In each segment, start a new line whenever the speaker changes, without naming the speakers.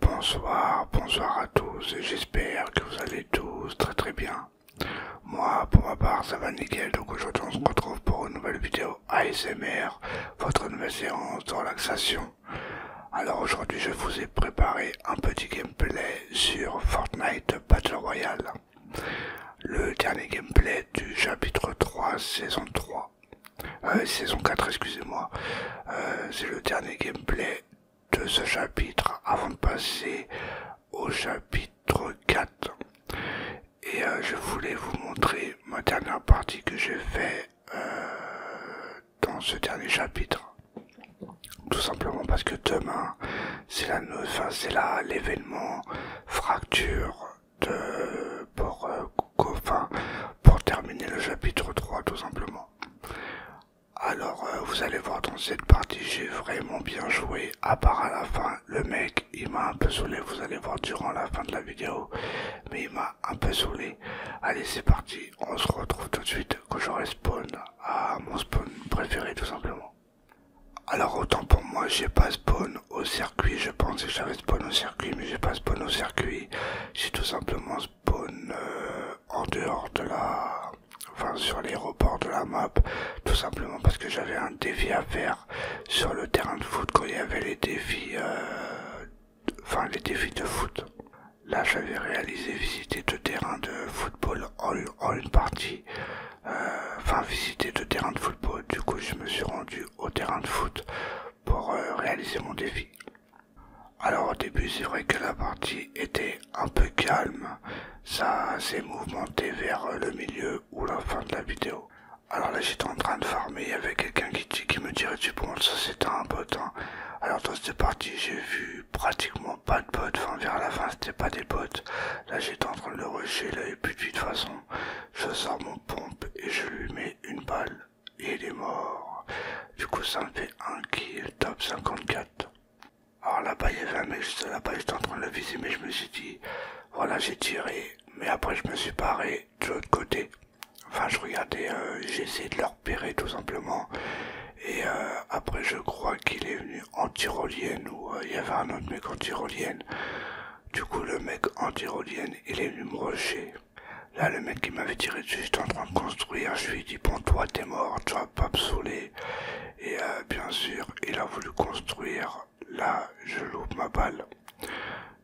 Bonsoir, bonsoir à tous et j'espère que vous allez tous très très bien. Moi pour ma part ça va nickel donc aujourd'hui on se retrouve pour une nouvelle vidéo ASMR, votre nouvelle séance de relaxation. Alors aujourd'hui je vous ai préparé un petit gameplay sur Fortnite Battle Royale. Le dernier gameplay du chapitre 3 saison 3. Euh, saison 4 excusez-moi. Euh, c'est le dernier gameplay de ce chapitre avant de passer au chapitre 4. Et euh, je voulais vous montrer ma dernière partie que j'ai fait dans ce dernier chapitre. Tout simplement parce que demain, c'est la, enfin, c'est l'événement fracture de, pour, euh, pour terminer le chapitre 3 tout simplement. Alors euh, vous allez voir dans cette partie j'ai vraiment bien joué à part à la fin le mec il m'a un peu saoulé vous allez voir durant la fin de la vidéo mais il m'a un peu saoulé allez c'est parti on se retrouve tout de suite quand je respawn à ah, mon spawn préféré tout simplement. Alors autant pour moi j'ai pas spawn au circuit, je pense, que j'avais spawn au circuit mais j'ai pas spawn au circuit, j'ai tout simplement spawn euh, en dehors de la... enfin sur l'aéroport de la map, tout simplement parce que j'avais un défi à faire sur le terrain de foot quand il y avait les défis, euh, enfin les défis de foot. Là, j'avais réalisé visiter deux terrains de football en, une partie. enfin, visiter deux terrains de football. Du coup, je me suis rendu au terrain de foot pour euh, réaliser mon défi. Alors, au début, c'est vrai que la partie était un peu calme. Ça s'est mouvementé vers le milieu ou la fin de la vidéo. Alors là, j'étais en train de farmer. Il y avait quelqu'un qui, qui me dirait, du bon. Ça, c'est un hein Alors, dans cette partie, j'ai vu pratiquement pas de bottes. Enfin, vers la fin, c'était pas des bottes. Là, j'étais en train de le rusher. Il avait plus de toute façon. Je sors mon pompe et je lui mets une balle. Et il est mort. Du coup, ça me fait un kill top 54. Alors là-bas, il y avait J'étais en train de le viser, mais je me suis dit, voilà, j'ai tiré. Mais après, je me suis paré de l'autre côté. Enfin, je regardais, euh, j'ai essayé de le repérer tout simplement. Et euh, après, je crois qu'il est venu en rolienne ou euh, il y avait un autre mec en rolienne Du coup, le mec en rolienne il est venu me rusher. Là, le mec qui m'avait tiré dessus, j'étais en train de construire. Je lui ai dit, bon, toi, t'es mort, tu vas pas me Et euh, bien sûr, il a voulu construire. Là, je loupe ma balle.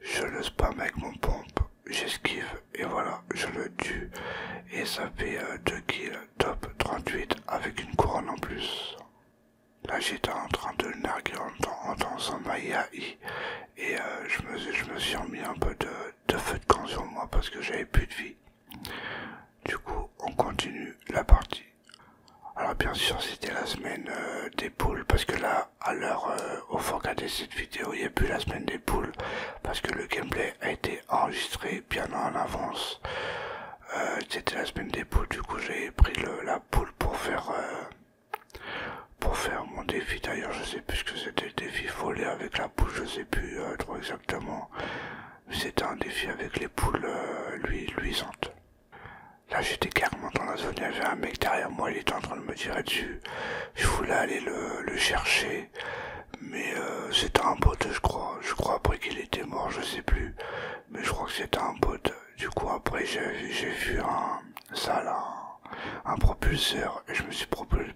Je le spam avec mon pompe. J'esquive et voilà, je le tue. Et ça fait 2 euh, kills, top 38 avec une couronne en plus. Là j'étais en train de narguer en, dansant ma et euh, je, me, suis remis un peu de, feu de camp sur moi parce que j'avais plus de vie. Du coup on continue la partie. Alors bien sûr c'était la semaine euh, des poules parce que là à l'heure où au fond de cette vidéo il n'y a plus la semaine des poules parce que le gameplay a été enregistré bien en avance. Euh, c'était la semaine des poules, du coup j'ai pris la poule pour faire euh, pour faire mon défi. D'ailleurs, je sais plus ce que c'était, le défi volé avec la poule, je sais plus euh, trop exactement. C'était un défi avec les poules lui, luisantes. Là, j'étais carrément dans la zone, il y avait un mec derrière moi, il était en train de me tirer dessus. Je voulais aller le chercher. Mais euh, c'était un bot, je crois. Je crois après qu'il était mort, je sais plus. Mais je crois que c'était un bot. Du coup, après, j'ai vu un, un, propulseur. Et je me suis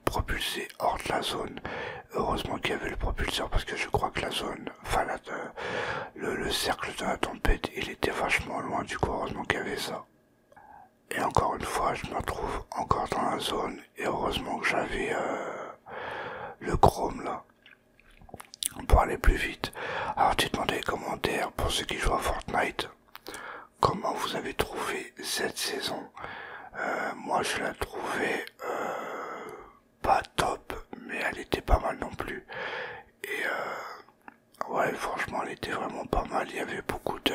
propulsé hors de la zone. Heureusement qu'il y avait le propulseur parce que je crois que la zone, enfin, euh, le, cercle de la tempête, il était vachement loin. Du coup, heureusement qu'il y avait ça. Et encore une fois, je me retrouve encore dans la zone et heureusement que j'avais euh, le Chrome là pour aller plus vite. Alors tu dans les commentaires pour ceux qui jouent à Fortnite comment vous avez trouvé cette saison. Euh, moi je la trouvais euh, pas top mais elle était pas mal non plus. Et ouais franchement elle était vraiment pas mal. Il y avait beaucoup de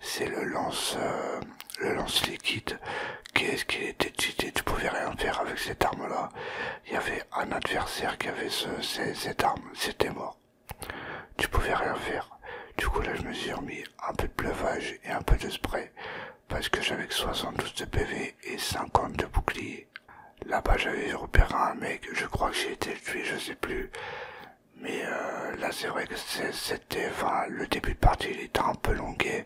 c'est le lance euh, le lance liquide qu'est ce qu'il était cheaté, tu pouvais rien faire avec cette arme là. Il y avait un adversaire qui avait cette arme, c'était mort. Tu pouvais rien faire. Du coup là je me suis remis un peu de pleuvage et un peu de spray parce que j'avais que 72 de PV et 50 de bouclier. Là-bas j'avais repéré un mec, je crois que j'ai été tué, je sais plus. Mais la euh, là, c'est vrai c'était. Enfin, le début de partie il était un peu longué.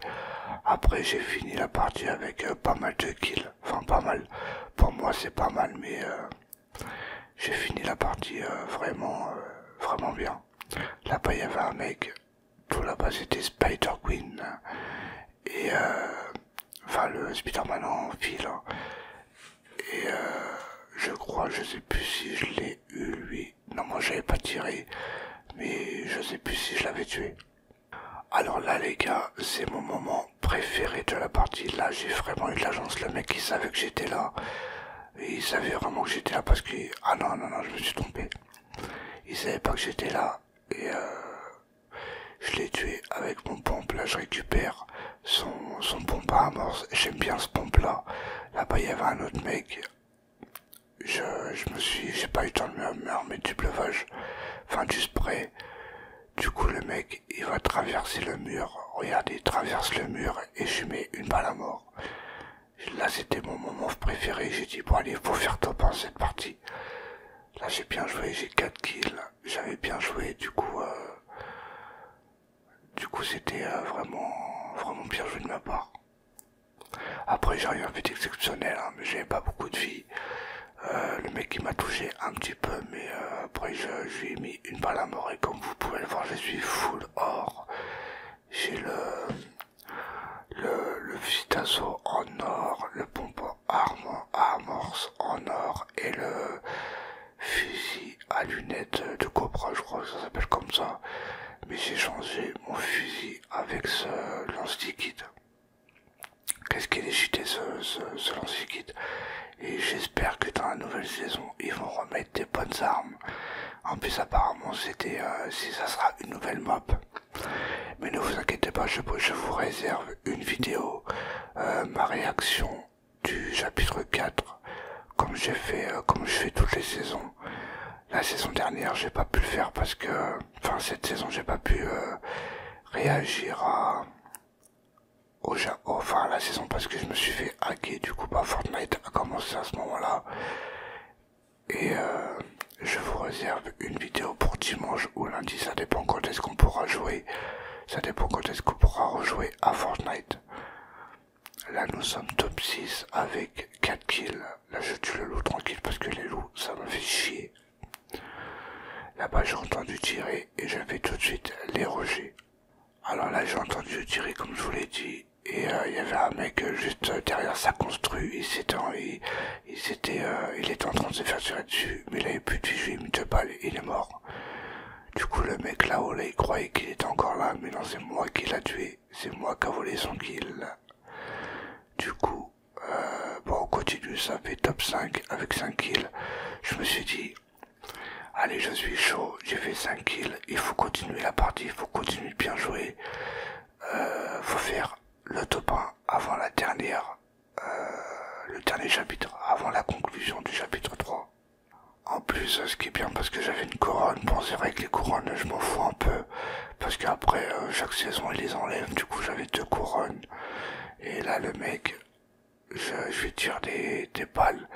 Après, j'ai fini la partie avec euh, pas mal de kills. Enfin, pas mal. Pour moi, c'est pas mal, mais euh, j'ai fini la partie vraiment, vraiment bien. Là-bas, il y avait un mec. Tout là-bas, c'était Spider Queen. Et. enfin, le Spider-Man en fil. Hein. Et euh, je crois, je sais plus si je l'ai eu lui. Non, moi j'avais pas tiré, mais je sais plus si je l'avais tué. Alors là les gars, c'est mon moment préféré de la partie. Là j'ai vraiment eu de la le mec il savait que j'étais là. Et il savait vraiment que j'étais là parce que... Ah non, non, non, je me suis trompé. Il savait pas que j'étais là. Et euh, je l'ai tué avec mon pompe. Là je récupère son, pompe à amorce. J'aime bien ce pompe là. Là-bas, il y avait un autre mec. Je, me suis, j'ai pas eu le temps de me, du bleuage enfin du spray. Du coup, le mec, il va traverser le mur. Regardez, il traverse le mur et je mets une balle à mort. Là, c'était mon moment préféré. J'ai dit, bon, allez, faut faire top en cette partie. Là, j'ai bien joué, j'ai 4 kills. J'avais bien joué, du coup, euh, du coup, c'était euh, vraiment, vraiment bien joué de ma part. Après, j'ai eu un but exceptionnel, hein, mais j'avais pas beaucoup de vie. Euh, le mec, il m'a touché un petit peu, mais euh, après, j'ai mis une balle à mort. Et comme vous pouvez le voir, je suis full or. J'ai le, le, le en or, le pompe armor, amorce en or et le fusil à lunettes de cobra, je crois que ça s'appelle comme ça. Mais j'ai changé mon fusil avec ce lance liquide. Qu'est-ce qu'il est jeté ce, lance liquide Et j'espère que dans la nouvelle saison, ils vont remettre des bonnes armes. En plus, apparemment, c'était euh, si ça sera une nouvelle map. Mais ne vous inquiétez pas, je, vous réserve une vidéo, euh, ma réaction du chapitre 4 comme j'ai fait euh, comme je fais toutes les saisons la saison dernière j'ai pas pu le faire parce que enfin cette saison j'ai pas pu euh, réagir à au enfin la saison parce que je me suis fait hacker du coup bah Fortnite a commencé à ce moment là et euh, je vous réserve une vidéo pour dimanche ou lundi ça dépend quand est-ce qu'on pourra jouer ça dépend quand est-ce qu'on pourra rejouer à Fortnite. Là, nous sommes top 6 avec 4 kills. Là, je tue le loup tranquille parce que les loups, ça me fait chier. Là-bas, j'ai entendu tirer et j'avais tout de suite les rochers. Alors là, j'ai entendu tirer comme je vous l'ai dit. Et euh, il y avait un mec euh, juste euh, derrière sa construit, il était, en train de se faire tirer dessus, mais il avait plus de vie, il me deux il est mort. Du coup, le mec là-haut, il croyait qu'il était encore là, mais non, c'est moi qui l'a tué. C'est moi qui a volé son kill. Du coup, euh, bon, on continue, ça fait top 5 avec 5 kills. Je me suis dit, allez, je suis chaud, j'ai fait 5 kills, il faut continuer la partie, il faut continuer bien jouer. Euh, faut faire le top 1 avant la dernière, euh, le dernier chapitre, avant la conclusion du chapitre 3. En plus, euh, ce qui est bien parce que j'avais une couronne, bon c'est vrai que les couronnes je m'en fous un peu, parce qu'après euh, chaque saison il les enlève du coup j'avais deux couronnes, et là le mec, je, lui tire des, balles,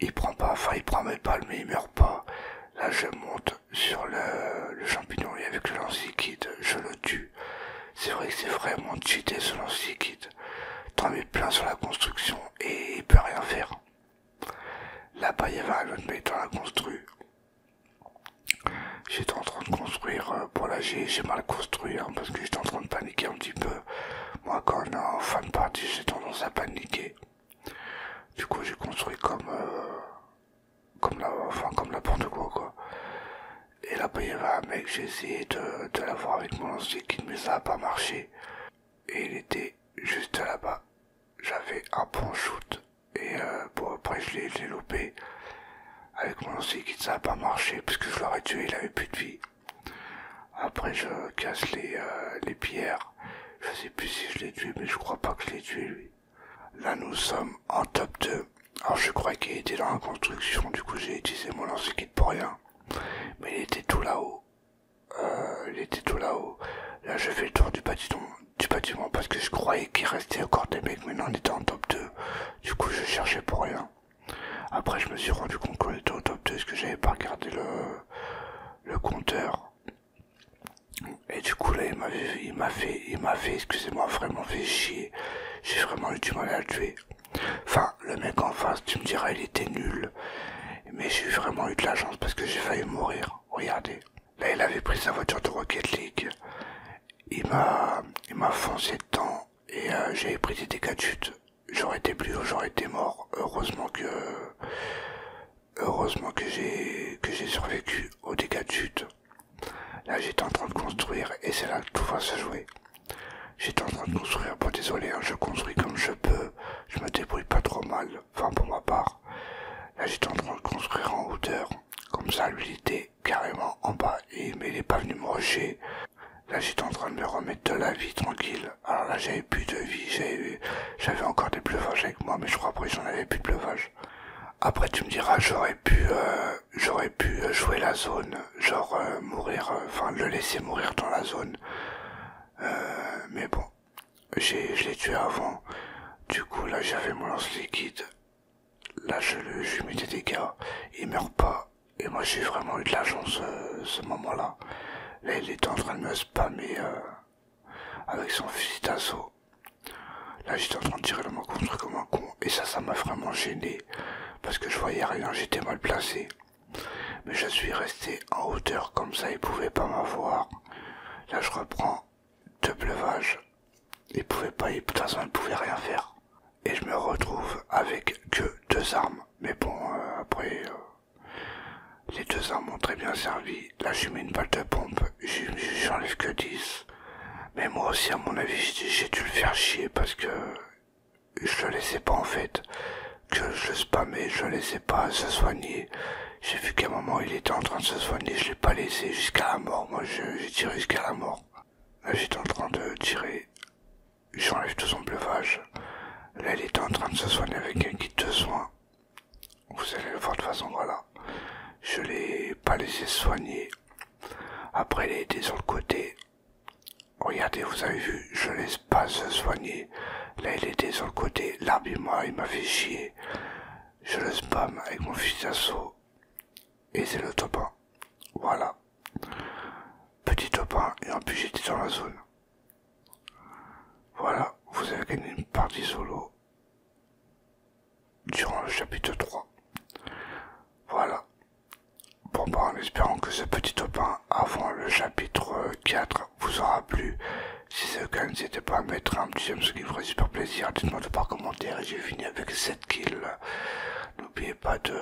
il prend pas, enfin il prend mes balles mais il meurt pas, là je monte sur le, le champignon et avec le lance liquide je le tue, c'est vrai que c'est vraiment cheaté ce lance liquide, t'as t'en plein sur la construction et il peut rien faire. Là-bas, il y avait un autre la construit. J'étais en train de construire, pour euh, là j'ai mal construit hein, parce que j'étais en train de paniquer un petit peu. Moi quand on est en fin de partie j'ai tendance à paniquer. Du coup j'ai construit comme euh, comme la, enfin comme n'importe quoi quoi. Et là-bas il y un mec, j'ai de de la avec mon lance qui mais ça n'a pas marché. Et il était juste là-bas. J'avais un bon shoot. Et euh, bon après je l'ai loupé. Avec mon lance qui ça a pas marché puisque je l'aurais tué, il avait plus de vie. Après je casse euh, les, pierres. Je sais plus si je l'ai tué mais je crois pas que je l'ai tué lui. Là nous sommes en top 2. Alors je crois qu'il était dans la construction, du coup j'ai utilisé mon lance-kit pour rien. Mais il était tout là-haut. Euh, il était tout là-haut. Là, je fais le tour du bâtiment, du bâtiment parce que je croyais qu'il restait encore des mecs, mais non, on était en top 2. Du coup, je cherchais pour rien. Après, je me suis rendu compte qu'on était au top 2 parce que j'avais pas regardé le, le compteur. Et du coup, là, il m'a fait, il m'a fait, excusez-moi, vraiment fait chier. J'ai vraiment eu du mal à le tuer. Enfin, le mec en face, tu me diras, il était nul. Mais j'ai vraiment eu de la chance parce que j'ai failli mourir. Regardez. Là, il avait pris sa voiture de Rocket League. Il m'a, il m'a foncé dedans et euh, j'avais pris des dégâts de chute. J'aurais été plus ou j'aurais été mort. Heureusement que, heureusement que j'ai, que j'ai survécu aux dégâts de chute. Là, j'étais en train de construire et c'est là que tout va se jouer. J'étais en train de construire, bon désolé, hein, je construis comme je peux, je me débrouille pas trop mal, enfin pour ma part. Là j'étais en train de construire en hauteur, comme ça lui il était carrément en bas, et, mais il n'est pas venu me rocher. Là j'étais en train de me remettre de la vie tranquille, alors là j'avais plus de vie, j'avais encore des pleuvages avec moi, mais je crois après j'en avais plus de pleuvages. Après tu me diras j'aurais pu euh, j'aurais pu euh, jouer la zone genre euh, mourir, euh, enfin le laisser mourir dans la zone. Euh, mais bon, je l'ai tué avant. Du coup, là, j'avais mon lance liquide. Là, je, lui mets des dégâts. Il meurt pas. Et moi, j'ai vraiment eu de la chance ce moment-là. Là, il était en train de me spammer avec son fusil d'assaut. Là, j'étais en train de tirer le mot contre comme un con. Et ça, ça m'a vraiment gêné. Parce que je voyais rien, j'étais mal placé. Mais je suis resté en hauteur comme ça, ils pouvaient pas m'avoir. Là, je reprends deux pleuvages, Ils pouvaient pas, de toute façon, ils pouvaient rien faire. Et je me retrouve avec que deux armes. Mais bon, euh, après, euh, les deux armes ont très bien servi. Là, j'ai mis une balle de pompe, j'enlève que 10. Mais moi aussi, à mon avis, j'ai dû le faire chier parce que je le laissais pas en fait, que je mais je le laissais pas se soigner. J'ai vu qu'à un moment il était en train de se soigner, je l'ai pas laissé jusqu'à la mort, moi j'ai tiré jusqu'à la mort. Là j'étais en train de tirer, j'enlève tout son bluffage. Là il était en train de se soigner avec un kit de soins. Vous allez le voir de toute façon, voilà. Je l'ai pas laissé soigner. Après il était sur le côté, Regardez, vous avez vu, je laisse pas se soigner. Là, il était sur le côté. l'arbitre moi, il m'a fait chier. Je le spam avec mon fusil d'assaut. Et c'est le top 1. Voilà. Petit top 1. Et en plus, j'étais dans la zone. Voilà. Vous avez gagné une partie solo. Durant le chapitre 3. Voilà. Bon bah en espérant que ce petit 1 avant le chapitre 4 vous aura plu. Si c'est le cas, n'hésitez pas à mettre un petit j'aime, ce qui me ferait super plaisir. Dites-moi de par commentaire et j'ai fini avec cette kills. N'oubliez pas de,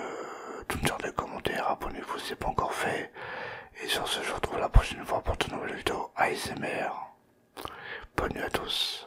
tout me de des commentaires, abonnez-vous si c'est pas encore fait. Et sur ce, je vous retrouve la prochaine fois pour de nouvelles vidéos ASMR. Bonne nuit à tous.